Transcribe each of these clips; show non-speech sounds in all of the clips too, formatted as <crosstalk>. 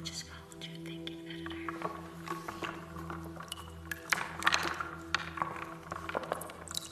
I just followed you thinking, editor.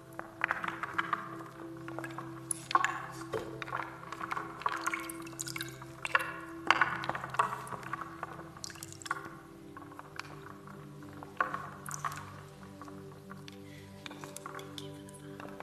Thank you for the vibes.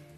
So much.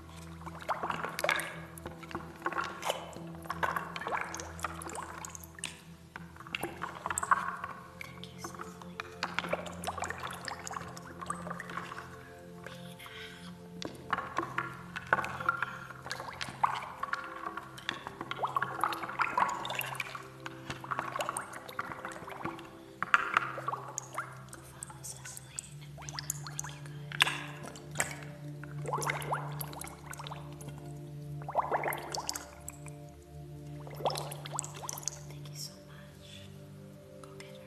Thank you, Cecily. Follow Cecily. Thank you so much. Go get her.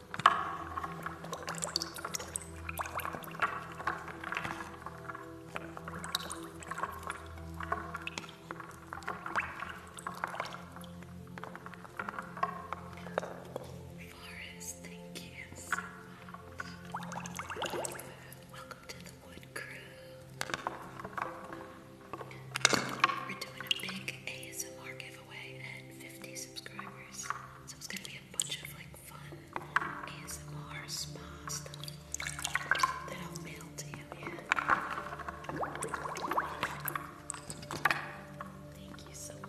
Forest, thank you Welcome to the Wood Crew. We're doing a big ASMR giveaway and 50 subscribers. So it's gonna be a bunch of like fun ASMR spa that I'll mail to you. Yeah. Thank you so much.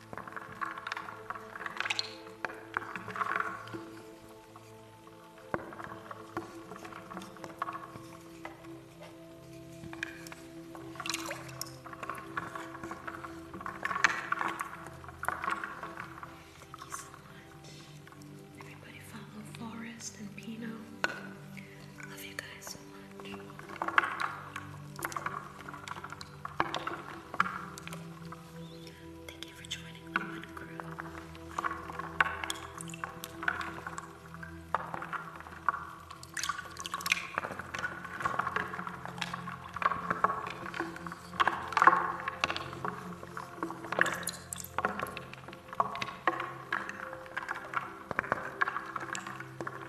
Thank you so much. Everybody follow Forrest and Pino. Love you guys so much. Thank you for joining the one crew. Thank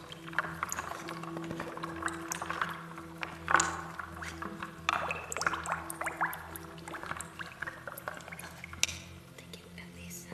Thank you, Elisa.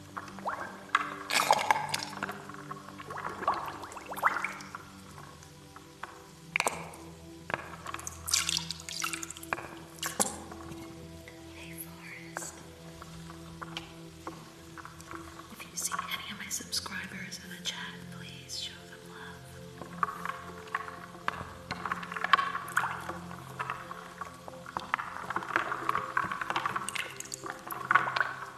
Hey, Forrest. If you see any of my subscribers in the chat, please show them love.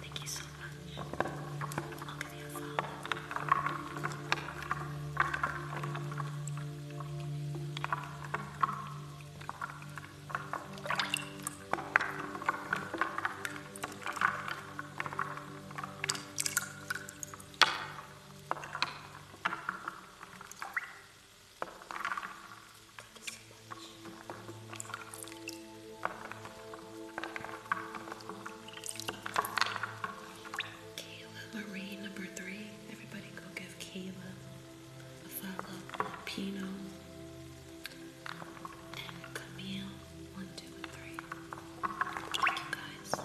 Thank you so much. I'll give you a follow. Kayla Marie, number three. Everybody go give Kayla a follow. Pino and Camille, one, two, and three. Thank you guys.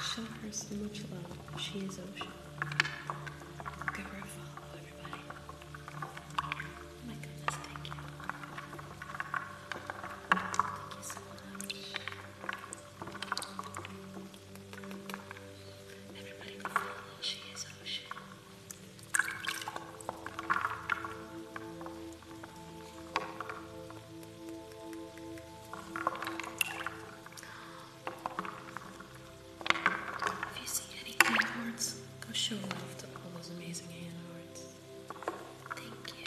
Show her so much love. She is ocean. Give her a follow, everybody. Oh my goodness, thank you. If you see any hand arts, go show love to all those amazing hand arts. Thank you.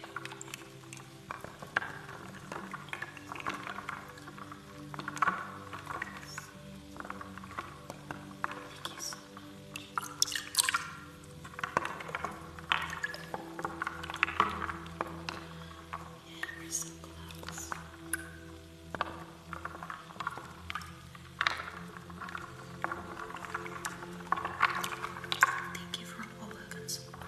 Thank you so much. Yeah, we're so close. Thank you for all of the support.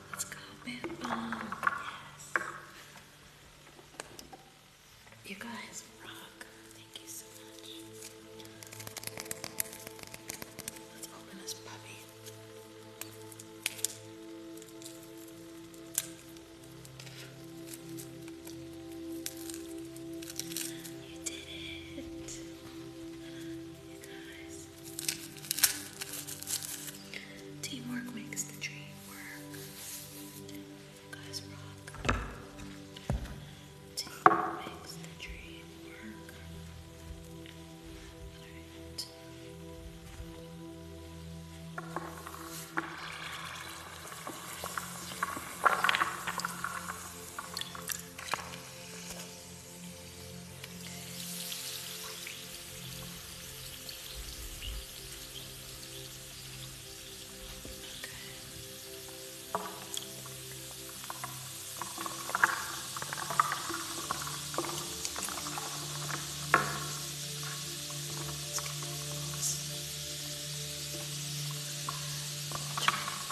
Let's go, bit Yes. You guys rock. Thank you so much. Let's open this puppy. You did it. You guys. Teamwork makes the dream work. Guys rock. Teamwork makes the dream work.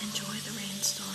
Enjoy the rainstorm.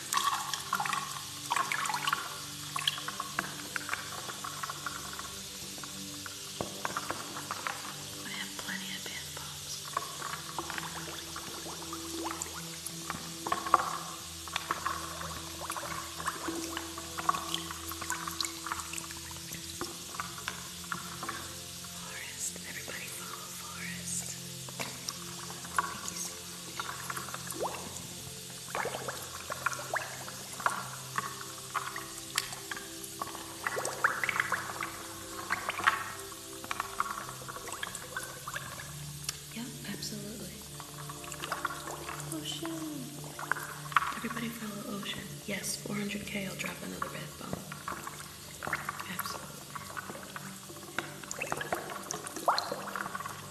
I have plenty of bath bombs. Forest, everybody follow Forest. Thank you so much. Yep, absolutely. Ocean. Everybody follow Ocean. Yes, 400k, I'll drop another bath bomb. Absolutely.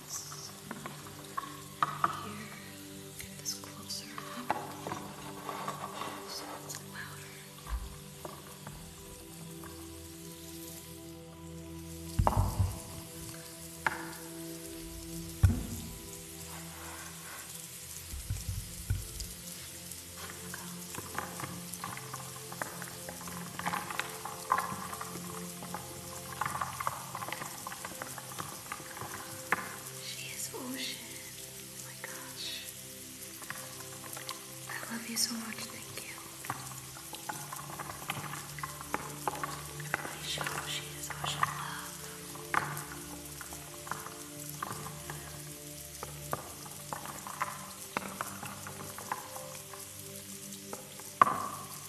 this here, get this closer so it's louder. There we go. She is ocean. Oh my gosh. I love you so much. Thank you. she is ocean love.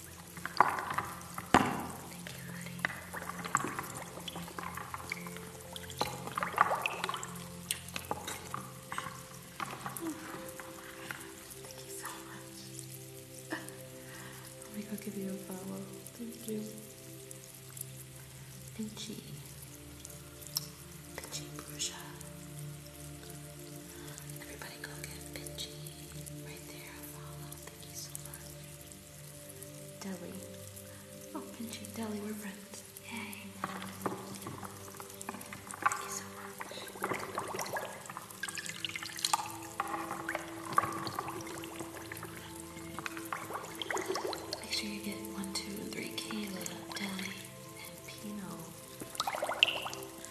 Thank you, honey. Thank you so much. Let me go give you a follow. Thank you. Pinchy. Pinchy Bruja. Everybody go get Pinchy right there. Follow thank Deli. Oh, Pinchy, Deli, we're friends. Yay. Make sure you get one, two, three, Kayla, Deli, and Pino.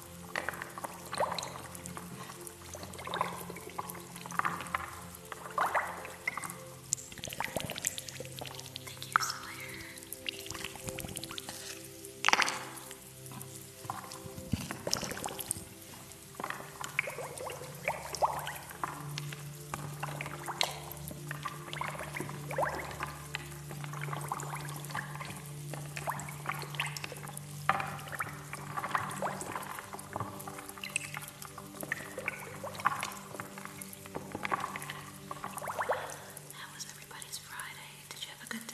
Thank you, Sawyer. That was everybody's Friday. Did you have a good day?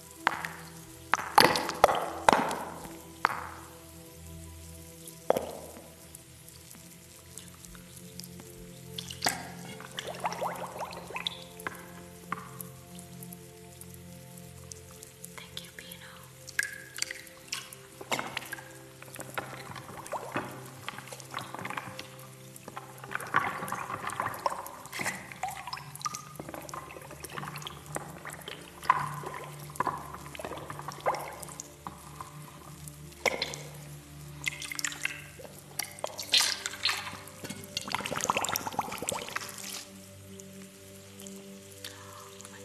Thank you, Pino. Oh my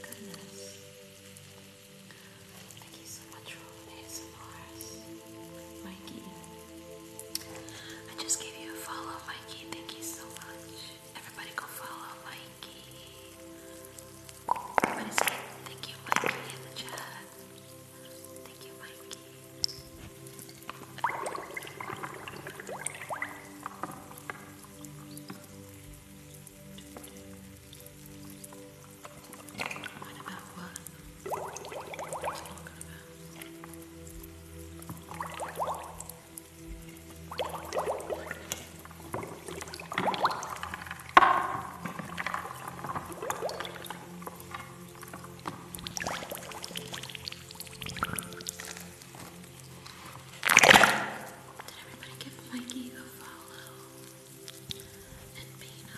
goodness. Thank you so much for all the ASMRs, Mikey. I just gave you a follow, Mikey. Thank you so much. Everybody go follow Mikey. Everybody say thank you, Mikey, in the chat. Thank you, Mikey. What about what? What's talking about? everybody give Mikey a follow? And Pino.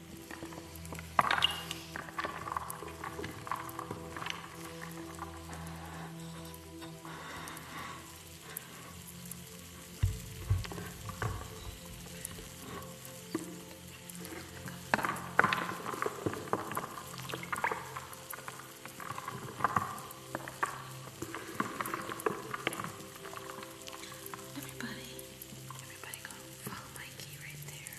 Everybody, everybody go follow my right there.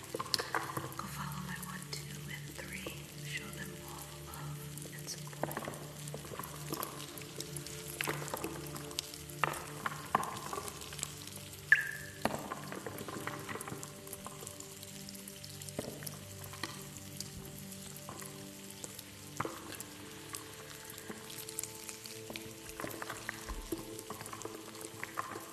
Go follow my one, two, and three. Show them all love and support. Thank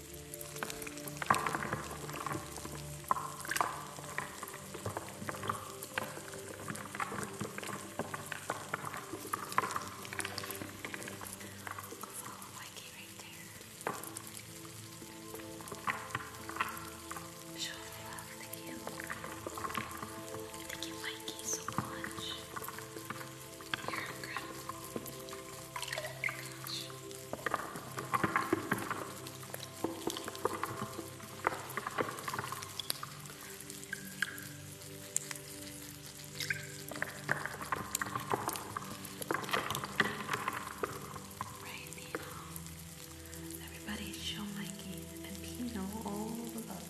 follow Mikey right there. Show love, thank you. Thank you, Mikey, so much. You're incredible. Right now, everybody show Mikey and Pino all the love.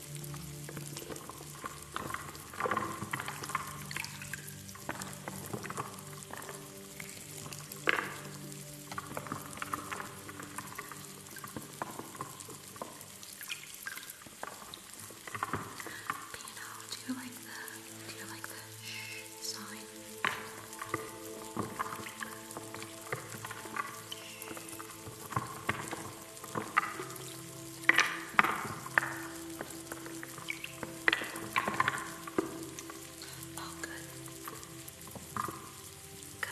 Pino, do you like the do you like the shh sign? Shh. Oh, good. Good.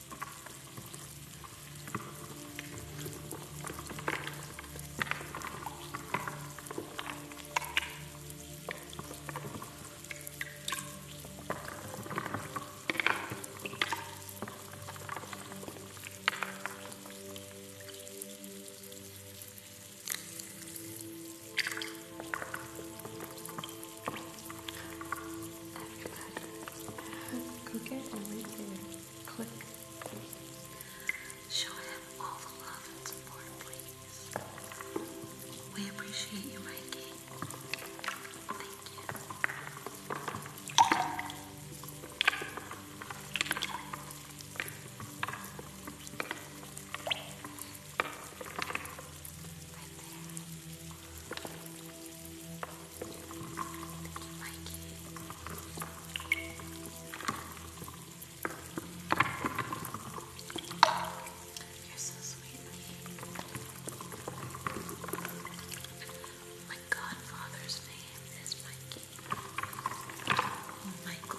After that, cook it and leave it click. Show him all the love and support, please. We appreciate you, Mikey. You're so sweet. My godfather's name is Mikey. Oh, Michael.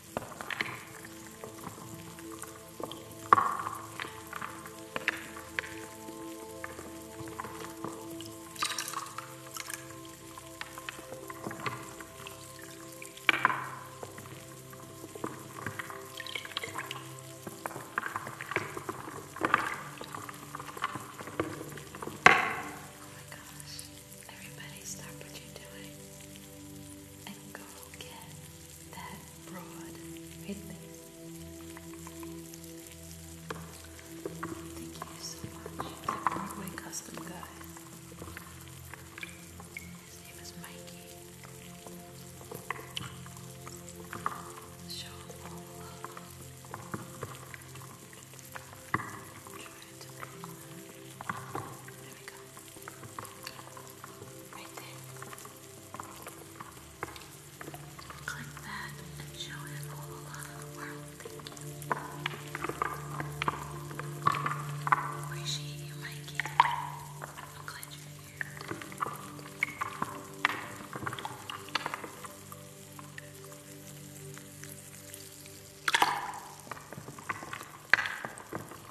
Oh gosh, everybody stop what you're doing and go get that broad Thank you so much. The Broadway custom guy. His name is Mikey. Show all love. Try to There we go. Right there. Click that and show him all the love in the world. Thank you. Appreciate you, Mikey. I'm glad you're here.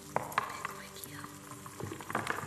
big wig you. Yeah, definitely.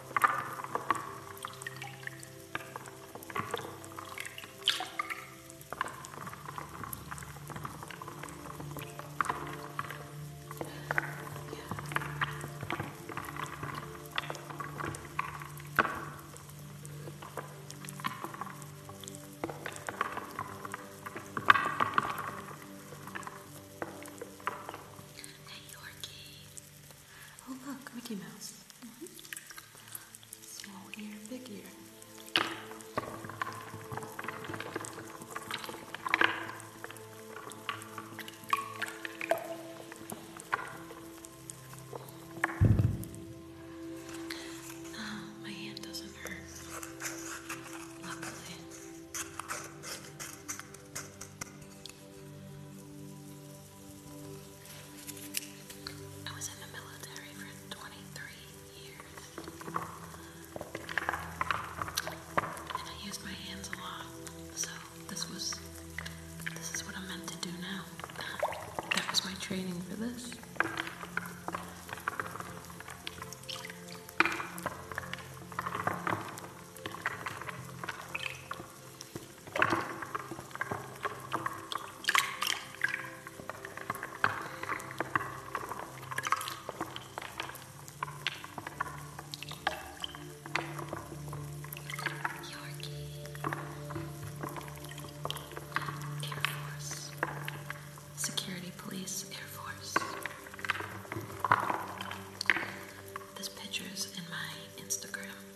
Hey Yorkie, Oh look, Mickey Mouse. Mm-hmm. Small ear, big ear. Ah, my hand doesn't hurt. Luckily. I was in the military for 23 years. And I used my hands a lot. So this was this is what I'm meant to do now. <laughs> That was my training for this. Security Police Air Force. This picture's in my Instagram.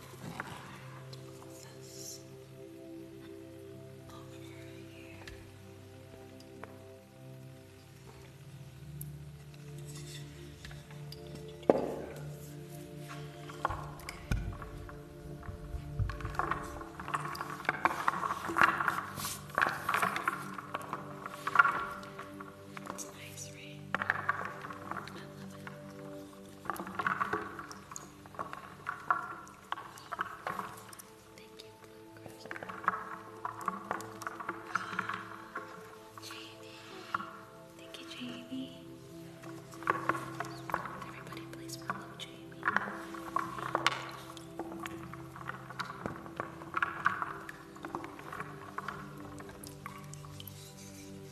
this over here. Okay. It's nice, right? I love it. Thank you, Bluegrass. Jamie. Thank you, Jamie. Everybody, please follow Jamie.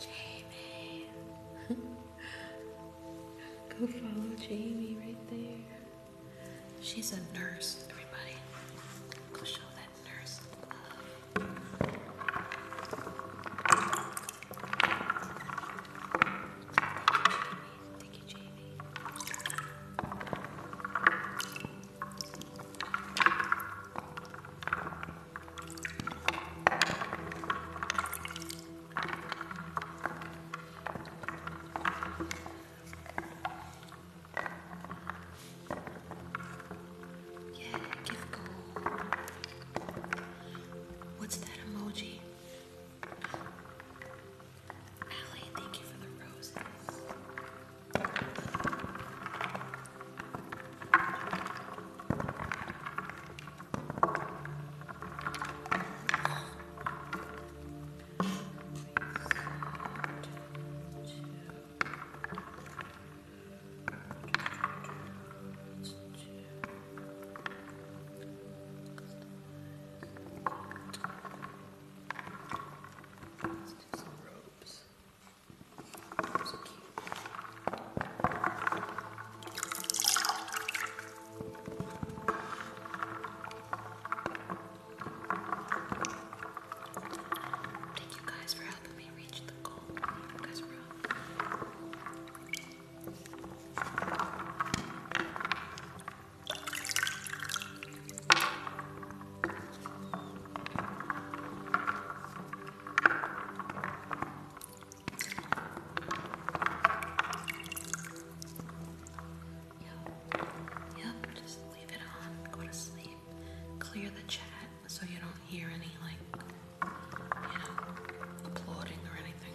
Jamie. <laughs> Go follow Jamie right there. She's a nurse, everybody. Go show that nurse love. Jamie. Thank you, Jamie. Yeah, give goal. What's that emoji? Allie, thank you for the roses. Let's do some robes. Thank you guys for helping me reach the goal. Yep. Yep. Just leave it on. Go to sleep. Clear the chat so you don't hear any like you know applauding or anything.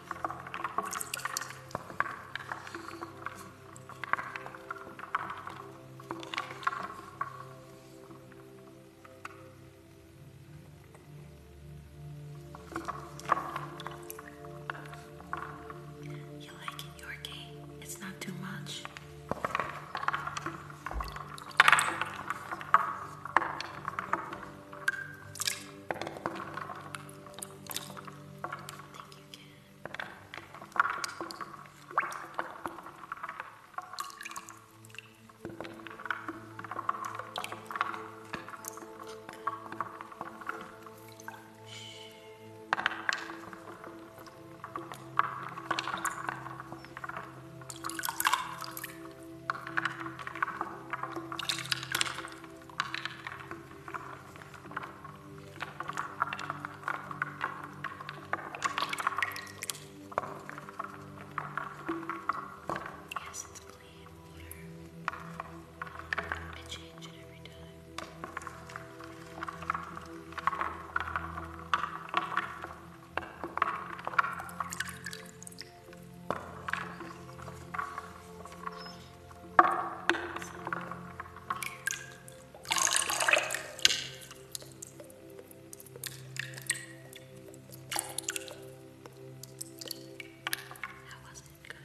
You like it, your game? It's not too much think you can. Good. Yes, it's plain water. I change it every time. That wasn't good.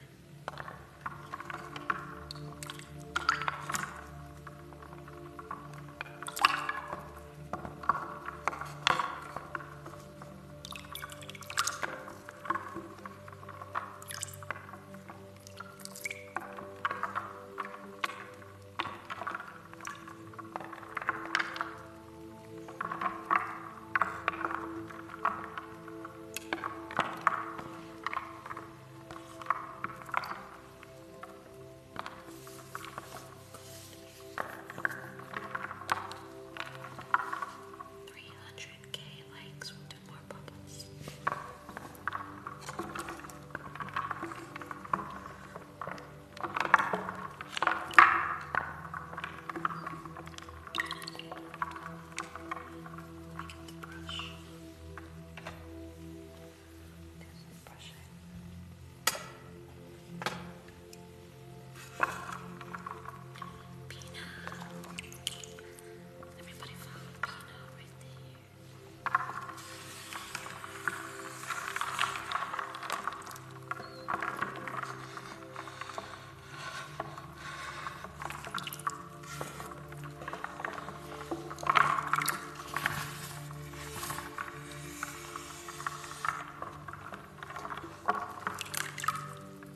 300k likes bit more bubbles. I get the brush. This is brushing. Peanut. Everybody found Pino right there.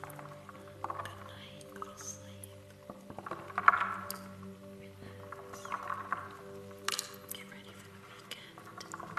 Good night, go to sleep. Relax. Get ready for the weekend. Good night.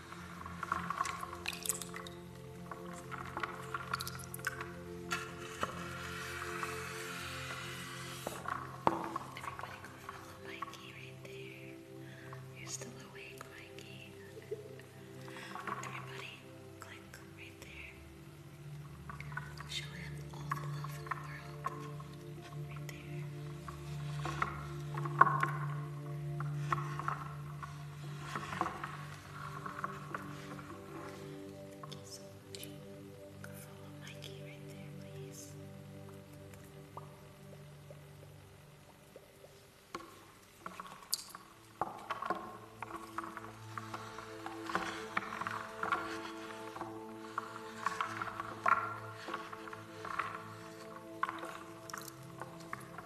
Everybody going on the Mikey right there. You're still awake, Mikey. Everybody click right there. Show him all the love in the world. Right there. Thank you so much. Go follow Mikey right there, please. Thank 400k, Basketball, 400k.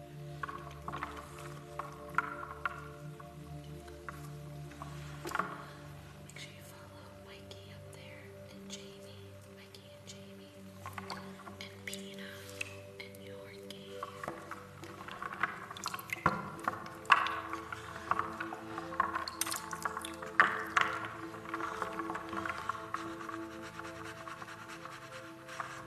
Make sure you follow Mikey up there and Jamie, Mikey and Jamie, and Pina and Yorkie. Thank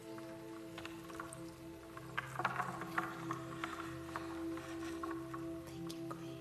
Thank you, Queen.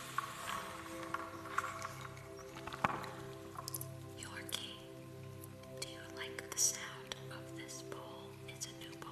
Yorkie, do you like the sound of this bowl? It's a new bowl.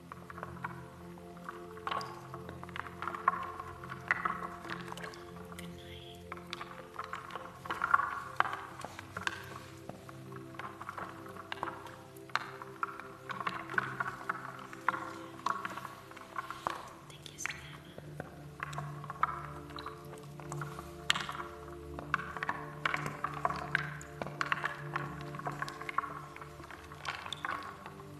Thank you, Savannah. Thank you, little.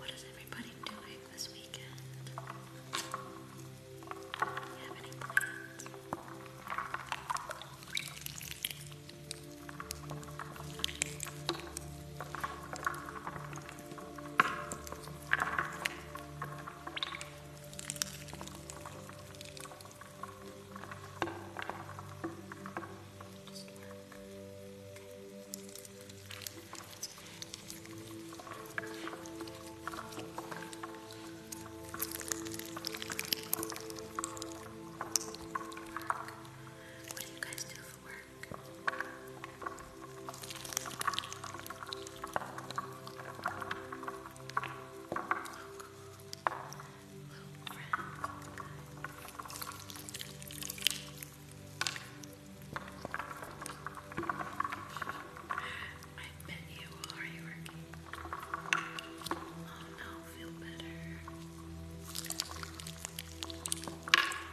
What is everybody doing this weekend? You have any plans? What do you guys do for work? I bet you are you working? Oh no, feel better.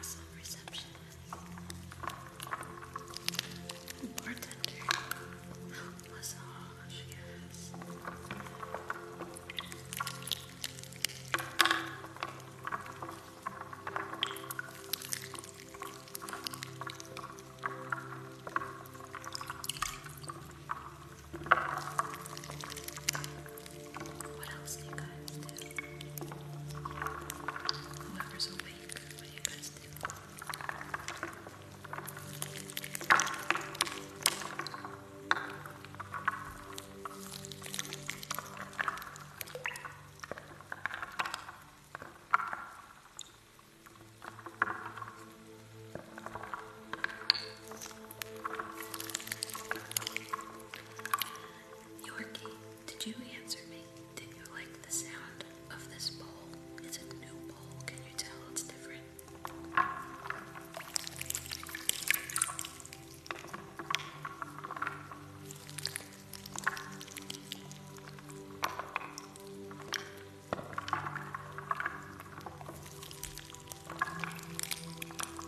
So receptionist, bartender, massage, yes. What else do you guys do? Whoever's awake, what do you guys do? Yorkie, did you answer me? Did you like the sound of this bowl? It's a new bowl. Can you tell it's different?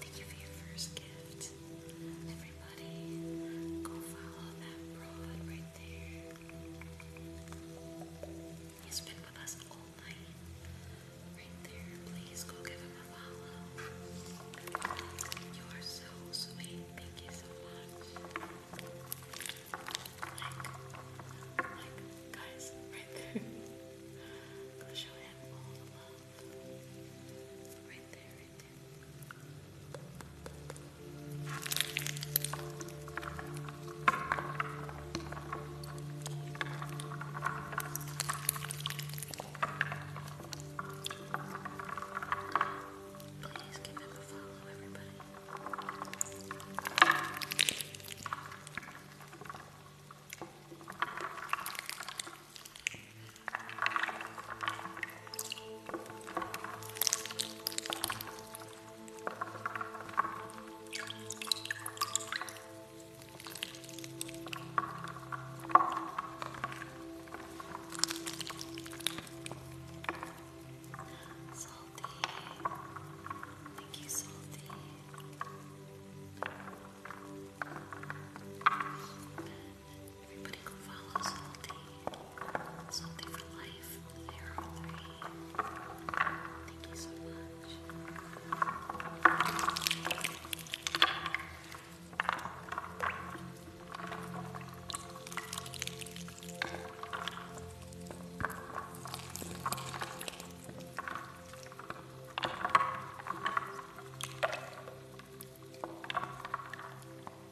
Thank you for your first gift. Everybody, go follow that broad right there. He's been with us all night. Right there. Please go give him a follow. You are so sweet. Thank you so much. Like, like, guys, right there. <laughs> show him all the love. Right there, right there. Please give him a follow, everybody. Salty. Thank you, Salty. Everybody go follow Salty. Something for life. There are three. Thank you so much. Go pick them all up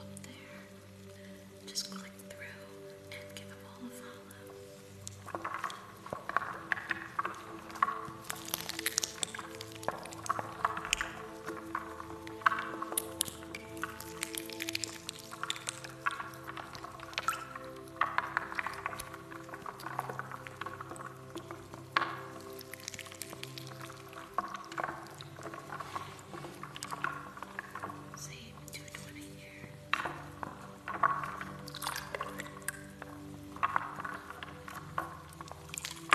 up there. Just click through and give them all a follow. Thank same two twenty here. Thank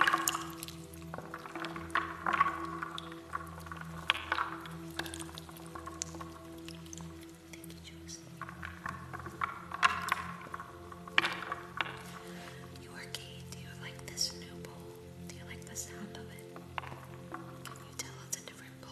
you, Joyce. Yorkie, do you like this new bowl? Do you like the sound of it? Can you tell it's a different bowl?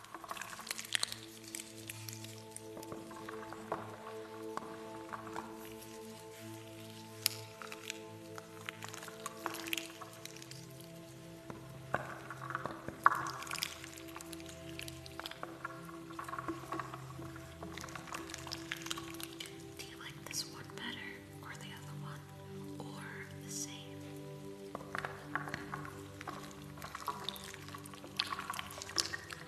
Do you like this one better or the other one or the same?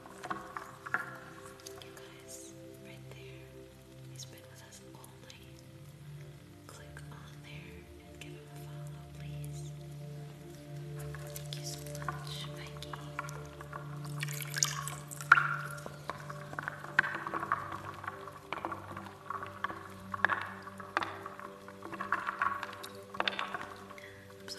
You guys, right there, he's been with us all night. Click on there and give him a follow, please. Thank you so much, Mikey. I'm so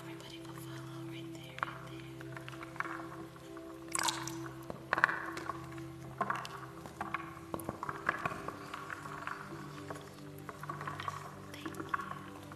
Everybody will follow right there, right there. Thank you.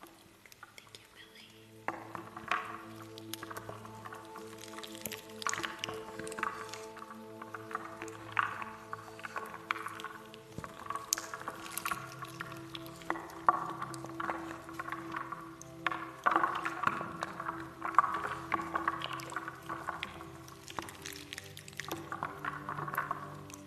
Thank you, Billy. Thank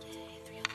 Yay, three Nice.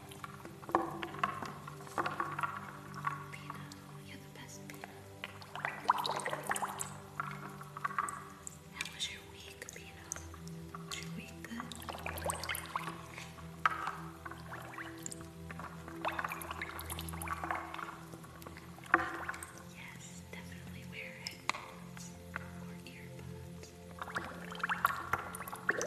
Pina, you're the best, Pina. How was your week, Pina? Was your week good? Yes, definitely wear headphones or earbuds.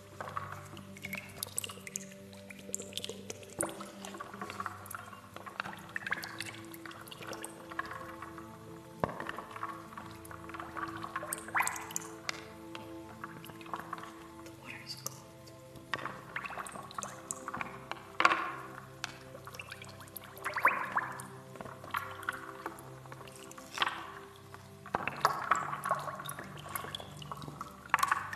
The water is cold. I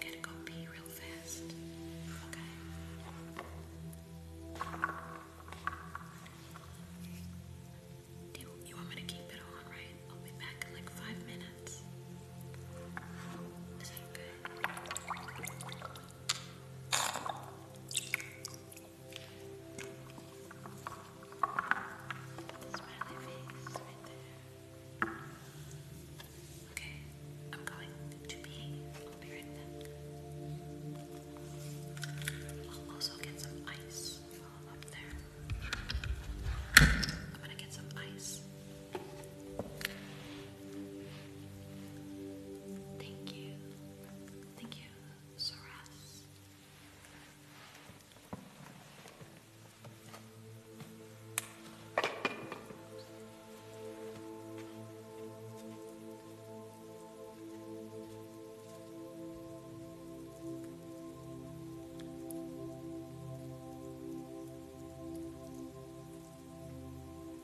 gotta go pee real fast. Okay. Do you, want me to keep it on, right? I'll be back in like five minutes. Is that okay? Smiley face right there. Okay, I'm going to be. I'll be right back. I'll also get some ice while I'm up there. I'm gonna get some ice. Thank you. Thank you, Saras.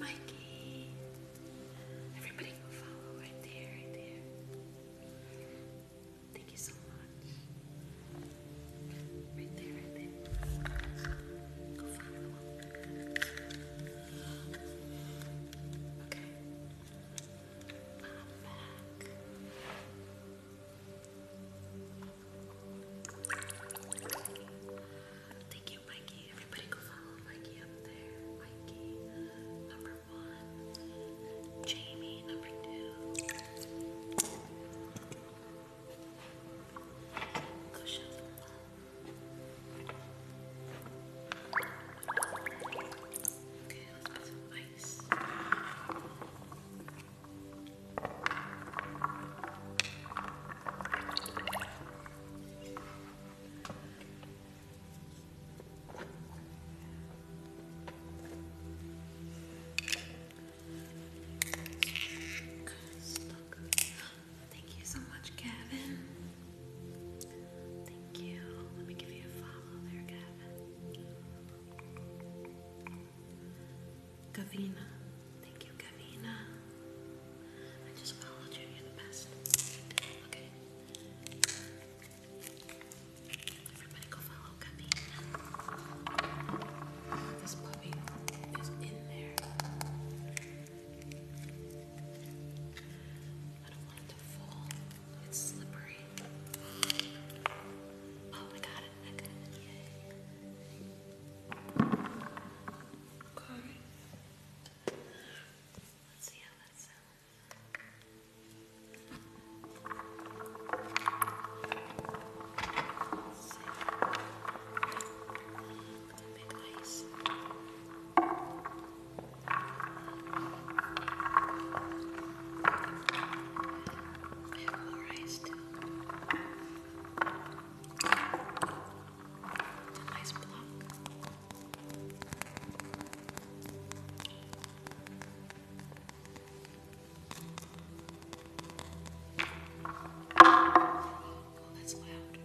Mikey, everybody go follow right there, right there. Thank you so much. Right there, right there. Go follow. Thank you, Mikey. Everybody go follow Mikey up there. Mikey, number one. Jamie, number two. Okay, let's put some ice. Good, Thank you so much, Gavin. Thank you. Let me give you a follow there, Gavin. Gavina. Thank you, Gavina. I just followed you. You're the best. Okay. Everybody go follow Gavina. This puppy is in there. I don't want it to fall. It's slippery. Oh, I got it. I got it. Yay. Okay. Let's see how that sounds. Let's see big ice. I have more ice too. An ice block. Oh, that's loud.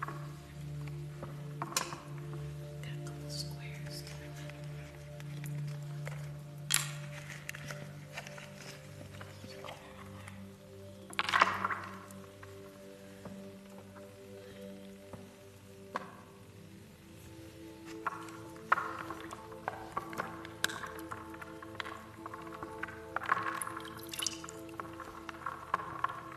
Got a couple squares to I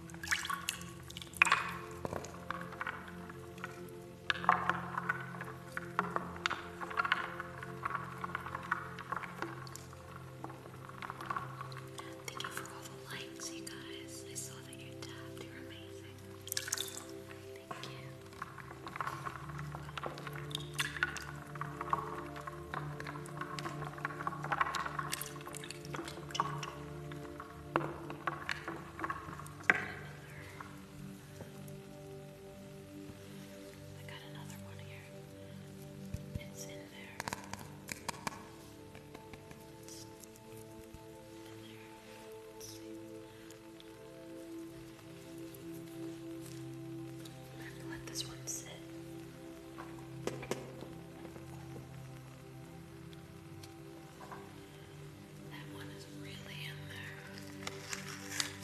Thank you for all the likes, you guys. I saw that you tapped. You're amazing. Thank you. I got another one here. It's in there. It's in there. Let's see. I have to let this one sit. That one is really in there.